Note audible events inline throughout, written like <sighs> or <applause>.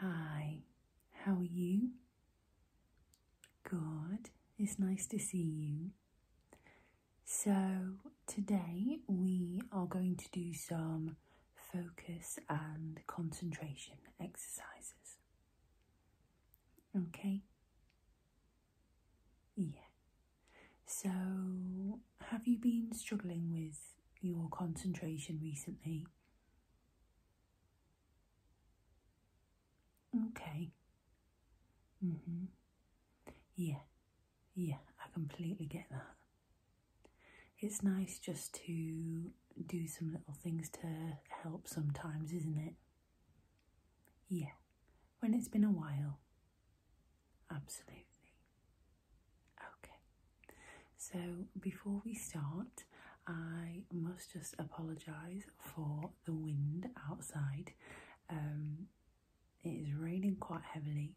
Hi, how are you? Good, it's nice to see you. So, today we are going to do some focus and concentration exercises. Okay? Yeah. So, have you been struggling with your concentration recently? Okay. Mhm. Yeah. Yeah, I completely get that. It's nice just to do some little things to help sometimes, isn't it? Yeah. When it's been a while. Absolutely. Okay, so before we start, I must just apologise for the wind outside. Um, it is raining quite heavily,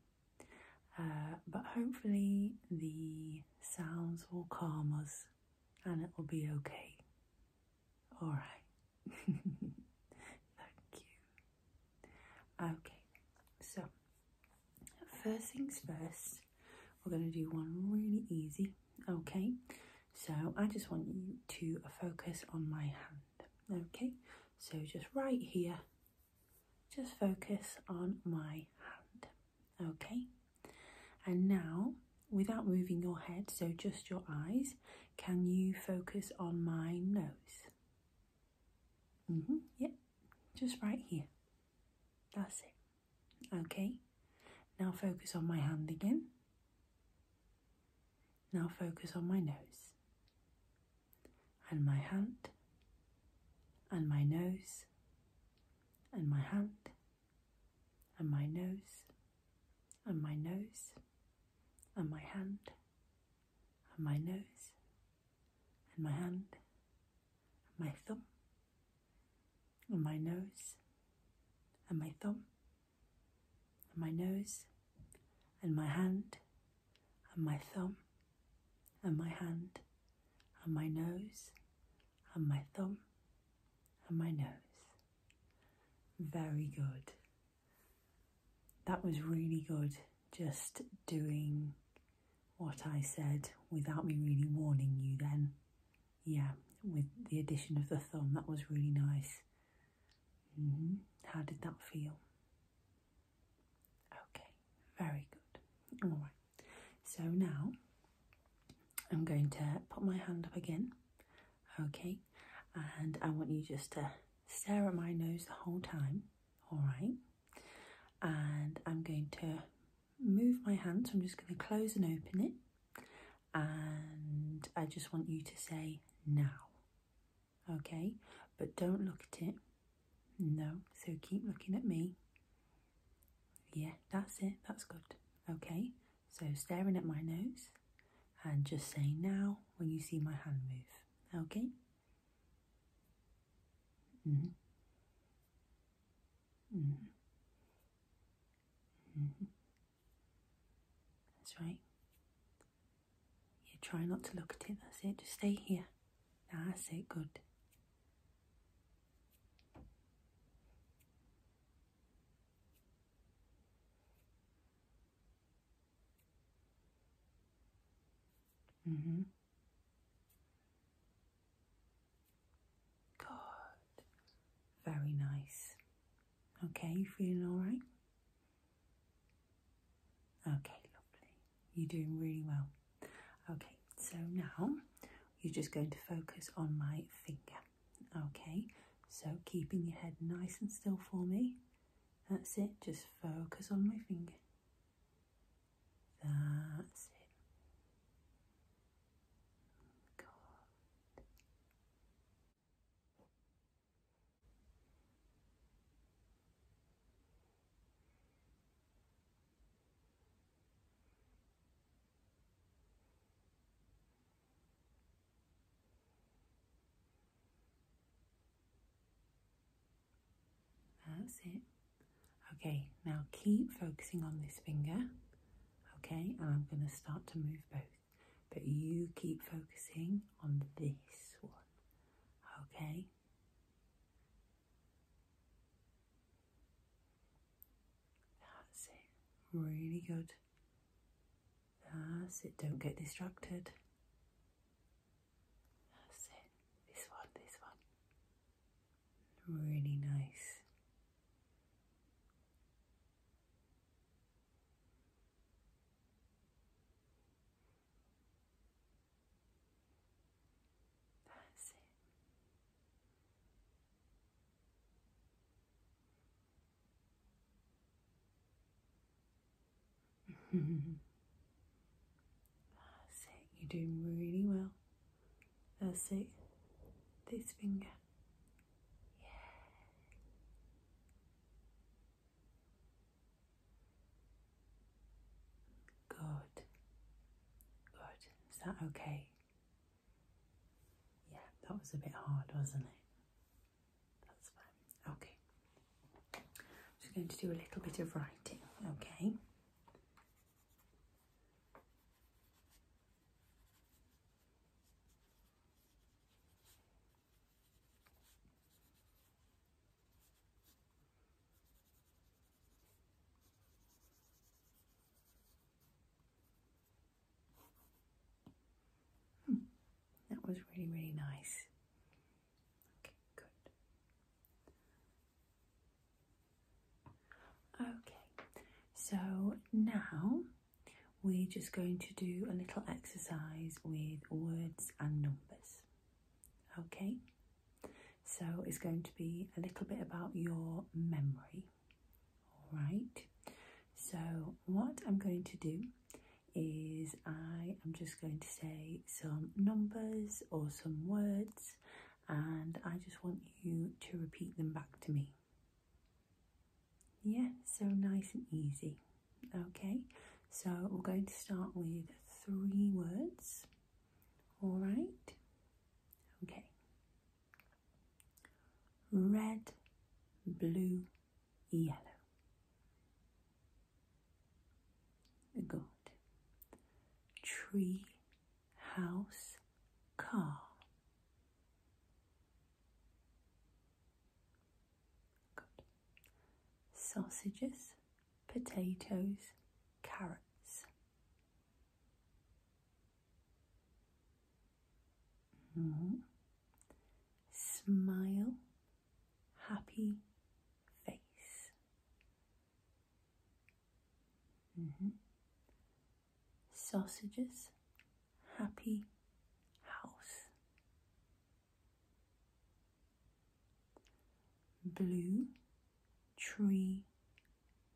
uh, but hopefully the sounds will calm us and it will be okay. Alright. <laughs> Thank you. Okay, so First things first, we're going to do one really easy, okay? So I just want you to focus on my hand, okay? So just right here, just focus on my hand, okay? And now, without moving your head, so just your eyes, can you focus on my nose? -hmm, yep, just right here. That's it. Okay, now focus on my hand again. Now focus on my nose and my hand and my nose and my hand and my nose and my nose and my hand and my nose and my hand and my thumb and my nose and my thumb and my nose and my hand and my thumb and my hand and my nose and my thumb and my nose. Very good. That was really good just doing what I said without me really warning you then. Yeah, with the addition of the thumb, that was really nice. Mm-hmm. How did that feel? Okay, very good. All right, so now I'm going to put my hand up again, okay, and I want you just to stare at my nose the whole time, all right and I'm going to move my hand so I'm just going to close and open it and I just want you to say now okay but don't look at it no so keep looking at me yeah that's it that's good okay so staring at my nose and just say now when you see my hand move okay -hmm. Mm -hmm. Mm -hmm. That's right. Yeah, try not to look at it. That's it. Just stay here. That's it. Good. Mm-hmm. Good. Very nice. Okay, you feeling all right? Okay, lovely. You're doing really well. Okay, so now you're just going to focus on my finger. Okay, so keeping your head nice and still for me. That's it, just focus on my finger. That's it. God. That's it. Okay, now keep focusing on this finger. Okay, and I'm going to start to move both. But you keep focusing on this one. Okay? That's it. Really good. That's it. Don't get distracted. That's it. This one, this one. Really nice. That's it. <laughs> You're doing really well. I'll see This finger. Yeah. Good. Good. Is that okay? Yeah, that was a bit hard, wasn't it? That's fine. Okay. I'm just going to do a little bit of writing, okay? Hmm. That was really, really nice. Okay, good. Okay, so now we're just going to do a little exercise with words and numbers. Okay, so it's going to be a little bit about your memory. All right, so what I'm going to do is I am just going to say some numbers or some words and I just want you to repeat them back to me. Yeah, so nice and easy. Okay, so we're going to start with three words. All right, okay. Red, blue, yellow. Good. Tree, house, car. Sausages, potatoes, carrots. Hmm. Smile, happy face. Mm Sausages, happy house. Blue tree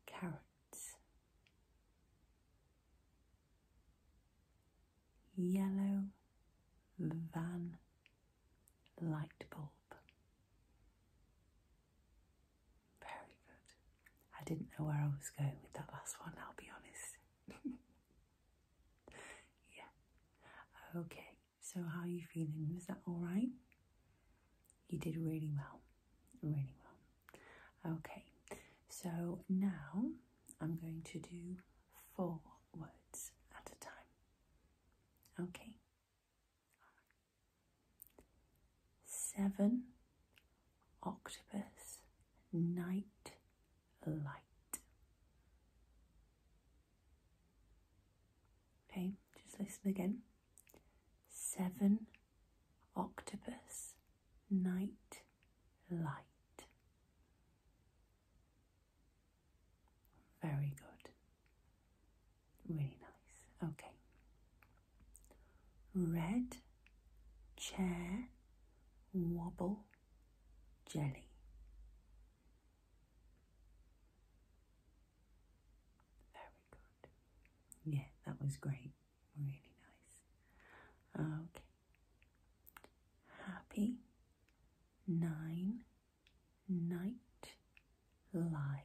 carrots. Yellow van light bulb. Very good. I didn't know where I was going with that last one, I'll be honest. <laughs> yeah. Okay, so how are you feeling? Is that alright? You did really well. Really well. Okay, so now I'm going to do four words at a time. Okay, Seven octopus night light. Okay, just listen again. Seven octopus night light. Very good. Really nice. Okay. Red chair wobble jelly. Very good. Yeah, that was great. Really nice. Okay. Happy nine night lime.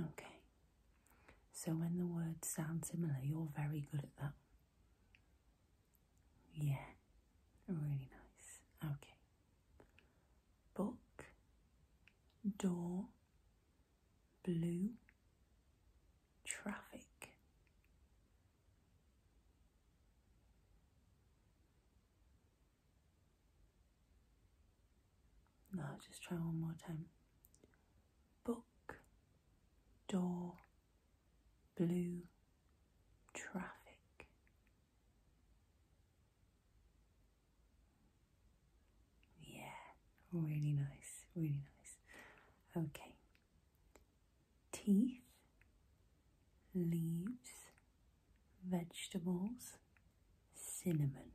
Okay, so when the words sound similar, you're very good at that. Yeah, really nice. Okay. Book, door, blue, traffic, now just try one more time. Book, door, blue, traffic. Yeah, really nice, really nice. Okay, teeth, leaves, vegetables, cinnamon.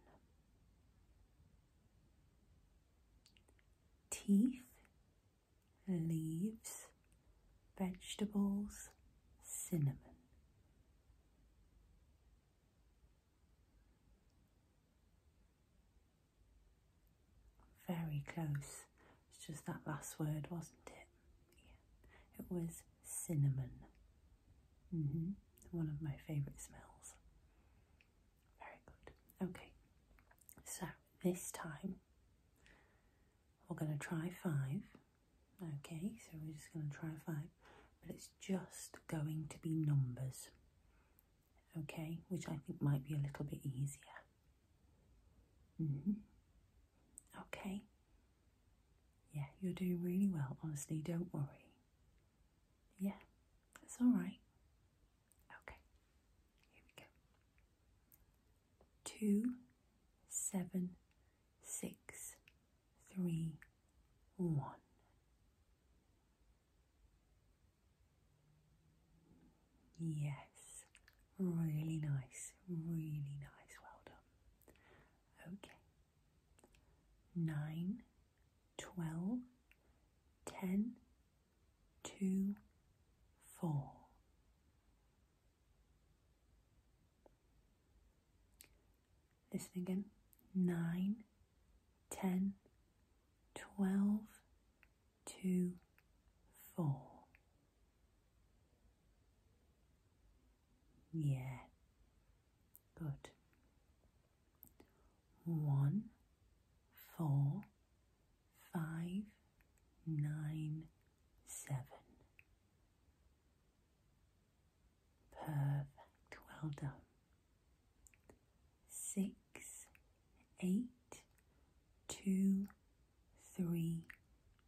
Teeth, leaves, vegetables, cinnamon. Very close. It's just that last word, wasn't it? Yeah. It was cinnamon. -hmm. One of my favourite smells. Very good. Okay. So this time we're going to try five. Okay, so we're just going to try five, but it's just going to be numbers. Okay, which I think might be a little bit easier. -hmm. Okay? Yeah, you're doing really well, honestly, don't worry. Yeah, it's alright. Okay, here we go. Two, seven, six, three, one. Yes, really nice, really nice. Well done. Okay. Nine, twelve, ten, two, four. Listen again. Nine, ten, twelve, two, four. Yeah, good. One, four, five, nine, seven. Perfect, well done. Six, eight, two, three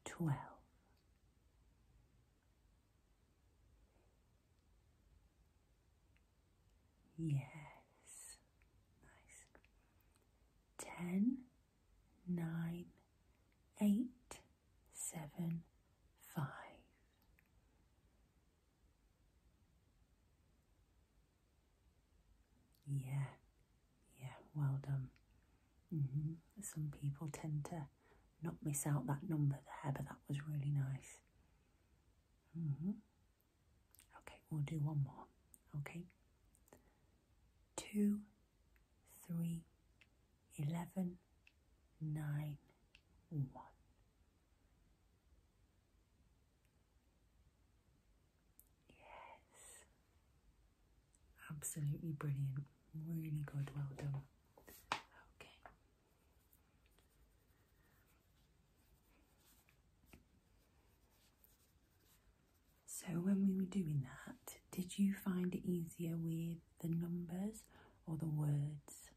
twelve. Yes, nice. Ten, nine, eight, seven, five. Yeah, yeah, well done. Mm-hmm. Some people tend to not miss out that number there, but that was really nice. Mm-hmm. Okay, we'll do one more. Okay. Two, three, eleven, nine, one. Yes. Absolutely brilliant. Really good. Well done. Okay. So, when we were doing that, did you find it easier with the numbers or the words?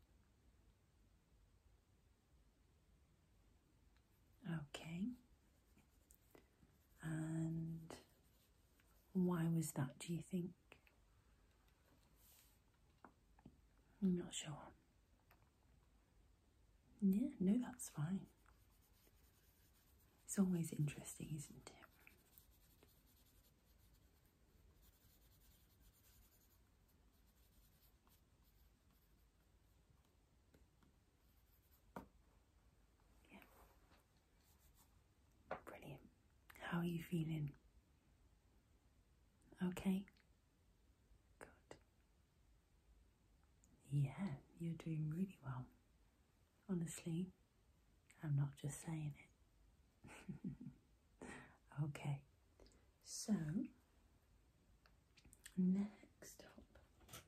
Okay. And why was that, do you think? I'm not sure. Yeah, no, that's fine. It's always interesting, isn't it? Yeah. Brilliant. How are you feeling? Okay? Good. Yeah, you're doing really well. Honestly, I'm not just saying it. <laughs> okay, so next up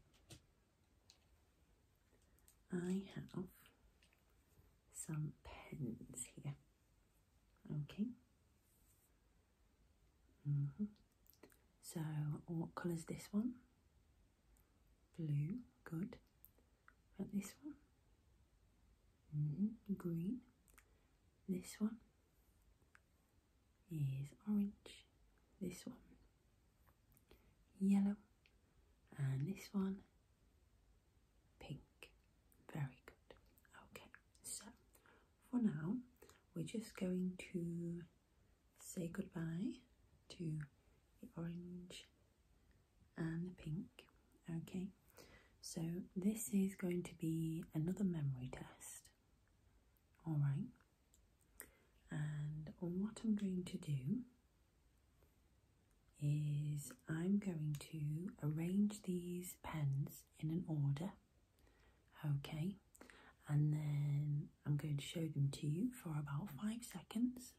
I have some pens here. Okay. Mm-hmm. So, what colours this one? Blue, good. But this one? Mm-hmm. Green. This one is orange. This one yellow, and this one pink. Very good. Okay, so for now, we're just going to say goodbye to the orange and the pink. Okay, so this is going to be another memory test. All right, and what I'm going to do is I'm going to arrange these pens in an order, okay, and then I'm going to show them to you for about five seconds,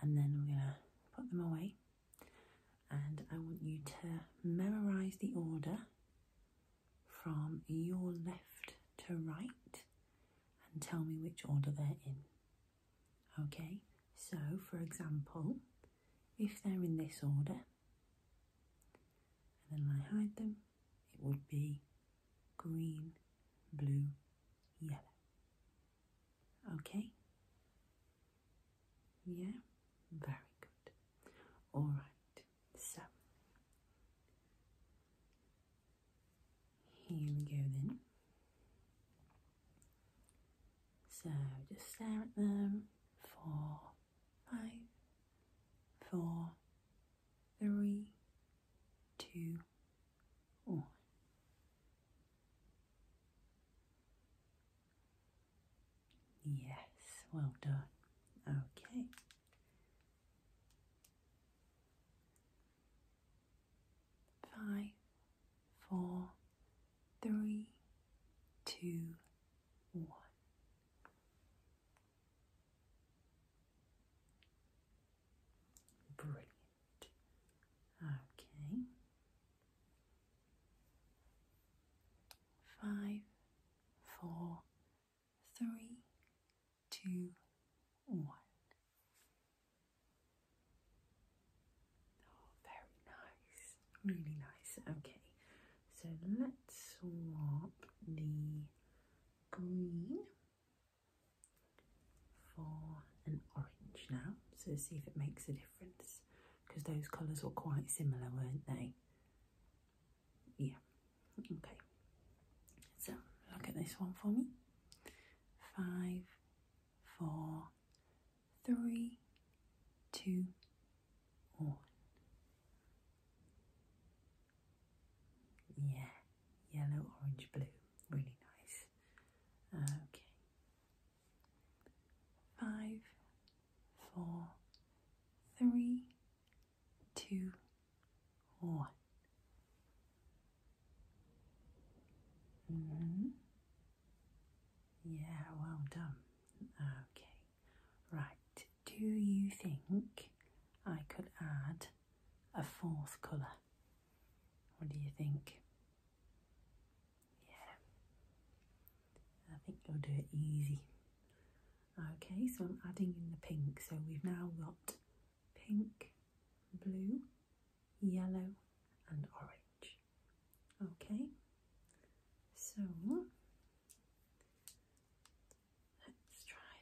and then I'm going to put them away. And I want you to memorize the order from your left to right and tell me which order they're in. Okay, so for example, if they're in this order and then I hide them, it would be green, blue, yellow. Okay? Yeah, very good. All right, so here we go then. So just stare at them. Four, five, four, three, two, one. Yes, well done. Okay five, four, three, two, one. Brilliant. Okay. Five, four, three, two, one. Oh, very nice, really nice. Okay, so let's swap the green for an orange now, so see if it makes a difference because those colours were quite similar, weren't they? Yeah, okay. So look at this one for me five, four, three, two, one. Yeah, yellow, orange, blue. Really nice. Okay. Five, four, three, two, on. Mm -hmm. Yeah, well done. Okay, right. Do you think I could add a fourth colour? What do you think? Yeah, I think you'll do it easy. Okay, so I'm adding in the pink, so we've now got pink, blue, yellow, and orange. Okay, so let's try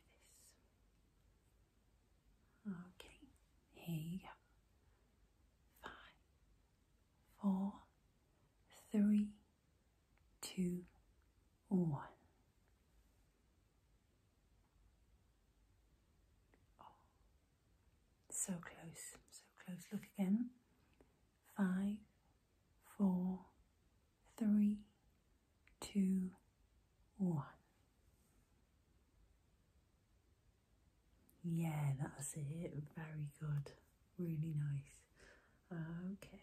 this. Okay, here you go. Five, four, three, two, one so close, so close. Look again. Five, four, three, two, one. Yeah, that's it. Very good. Really nice. Okay.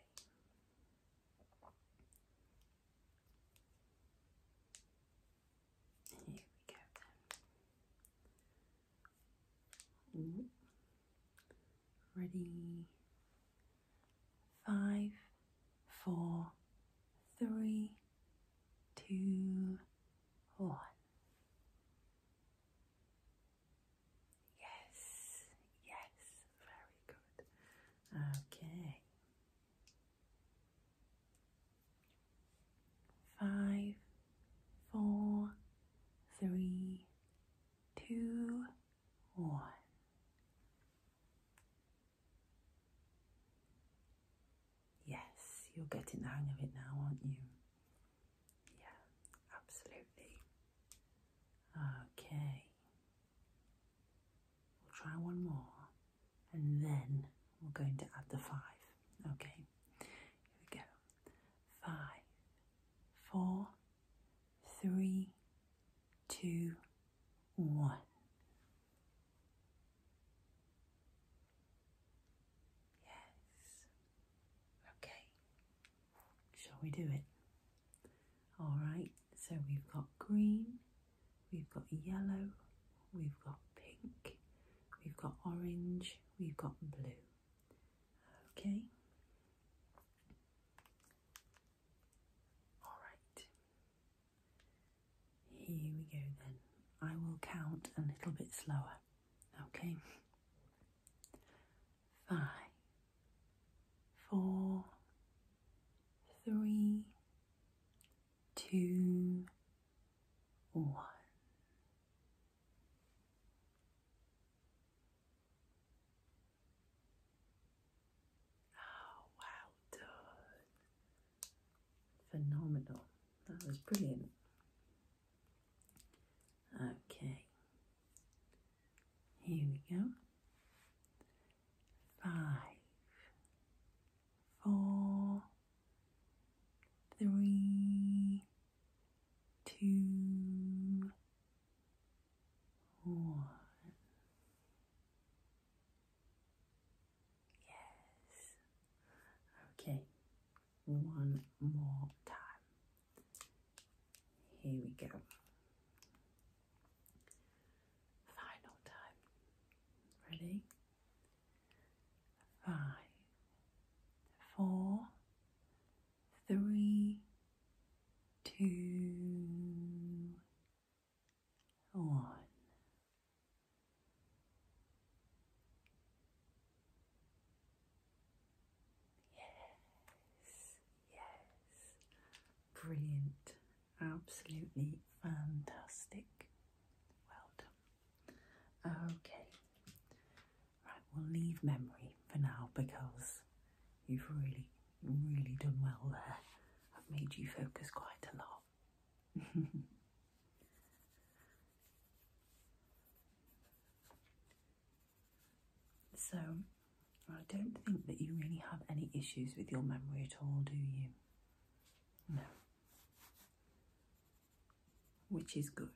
Here we go Ready? Five, four, three, two, one. Yes, yes, very good. Okay five, four, three, two, one. Yes, you're getting the hang of it now, aren't you? Yeah, absolutely. Okay. We'll try one more and then we're going to add the five. Okay, here we go. Five, four, three, two, one. Yes. Okay. Shall we do it? All right, so we've got green, we've got yellow, we've got pink, we've got orange, we've got blue. Okay. All right. Here we go then. I will count a little bit slower. Okay. Five, four, three, two, one. Oh, wow, done. Phenomenal. That was brilliant. Okay, here we go five, four, three, two, one. Yes. Okay, one more time. Here we go final time. Ready? Five, four, three, two, one. Yes, yes, brilliant. Absolutely fantastic. Well done. Okay. Right, we'll leave memory for now because you've really, really done well there. I've made you focus quite a lot. <laughs> so, I don't think that you really have any issues with your memory at all, do you? No. Which is good.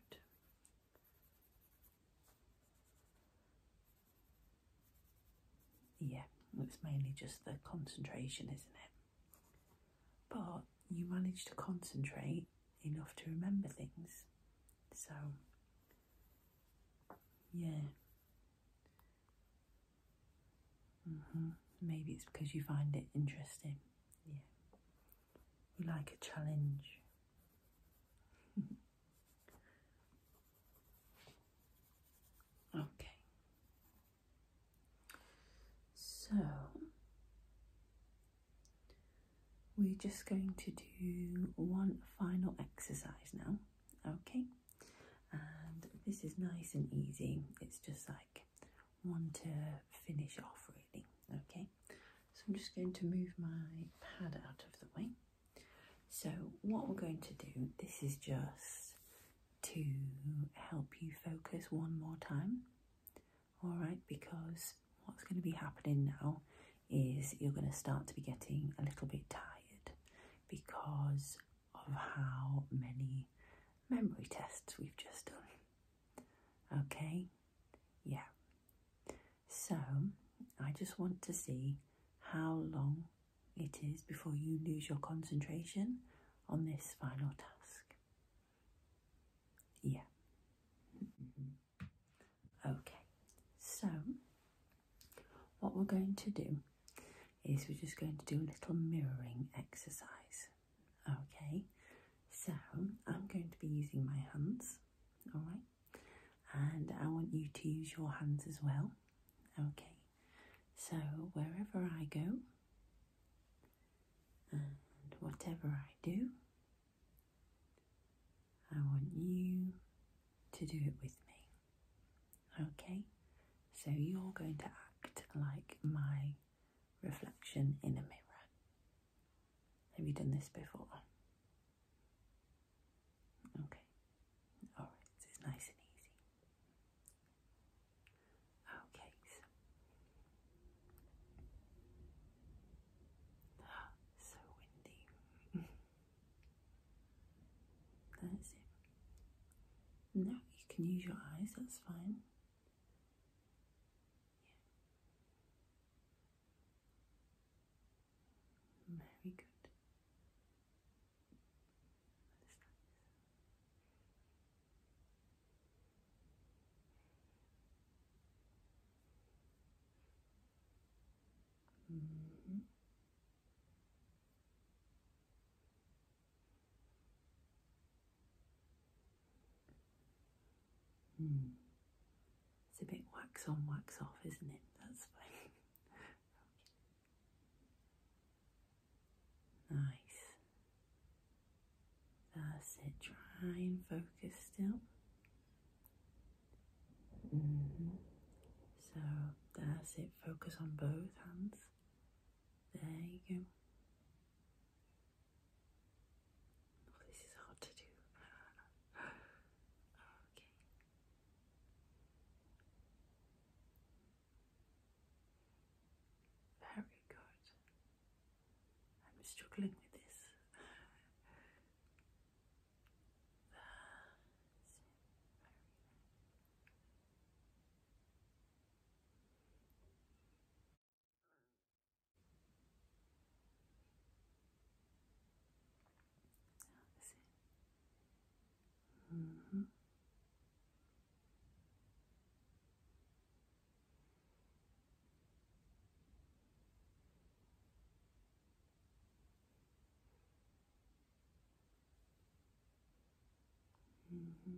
Yeah, it's mainly just the concentration, isn't it? But you manage to concentrate enough to remember things. So, yeah. Mm-hmm. Maybe it's because you find it interesting. Yeah. You like a challenge. <laughs> okay. So we're just going to do one final exercise now. Okay and this is nice and easy it's just like one to finish off really okay so I'm just going to move my pad out of the way so what we're going to do this is just to help you focus one more time all right because what's going to be happening now is you're going to start to be getting a little bit tired because of how many memory tests we've just done. Okay? Yeah. So, I just want to see how long it is before you lose your concentration on this final task. Yeah. Mm-hmm. okay, so what we're going to do is we're just going to do a little mirroring exercise. Okay, so I'm going to be using my hands, all right, and I want you to use your hands as well. Okay, so wherever I go and whatever I do, I want you to do it with me. Okay, so you're going to act like my reflection in a mirror. Have you done this before? Okay, all right, it's nice and easy. Okay, so. <gasps> so windy. <laughs> That's it. No, you can use your eyes, that's fine. Very good. Mm-hmm. Mm. It's a bit wax on, wax off, isn't it? That's fine. okay. <laughs> Nice. That's it. Try and focus still. -hmm. So that's it. Focus on both hands. There you go. Oh, this is hard to do. <sighs> okay. Very good. I'm struggling with this. <sighs> That's it. Mm -hmm. Mm -hmm.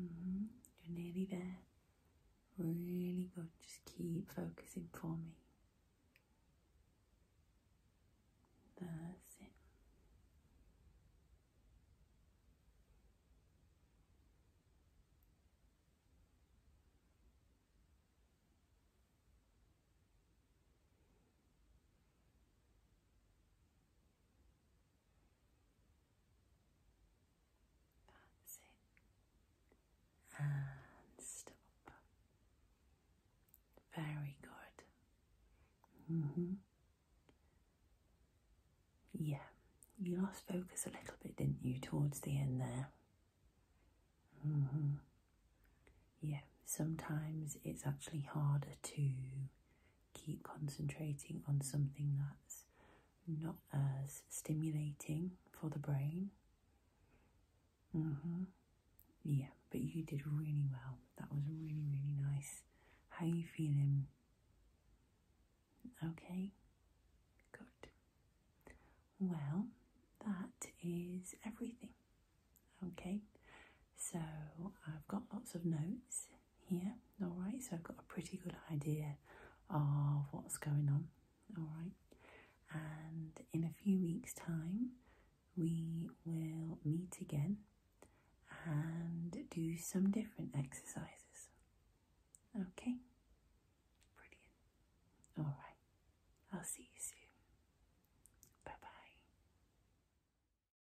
Mm-hmm. You're nearly there. Really good. Just keep focusing for me. That's it. That's it. And stop. Very good. Mm -hmm. Yeah, you lost focus a little bit, didn't you, towards the end there? Mm-hmm. Yeah, sometimes it's actually harder to keep concentrating on something that's not as stimulating for the brain. Mm-hmm. Yeah, but you did really well. That was really, really nice. How are you feeling? Okay, good. Well, that is everything. Okay, so I've got lots of notes yeah. alright, so I've got a pretty good idea of what's going on, alright, and in a few weeks' time we will meet again and do some different exercises, okay? Brilliant, alright, I'll see you soon. Bye bye.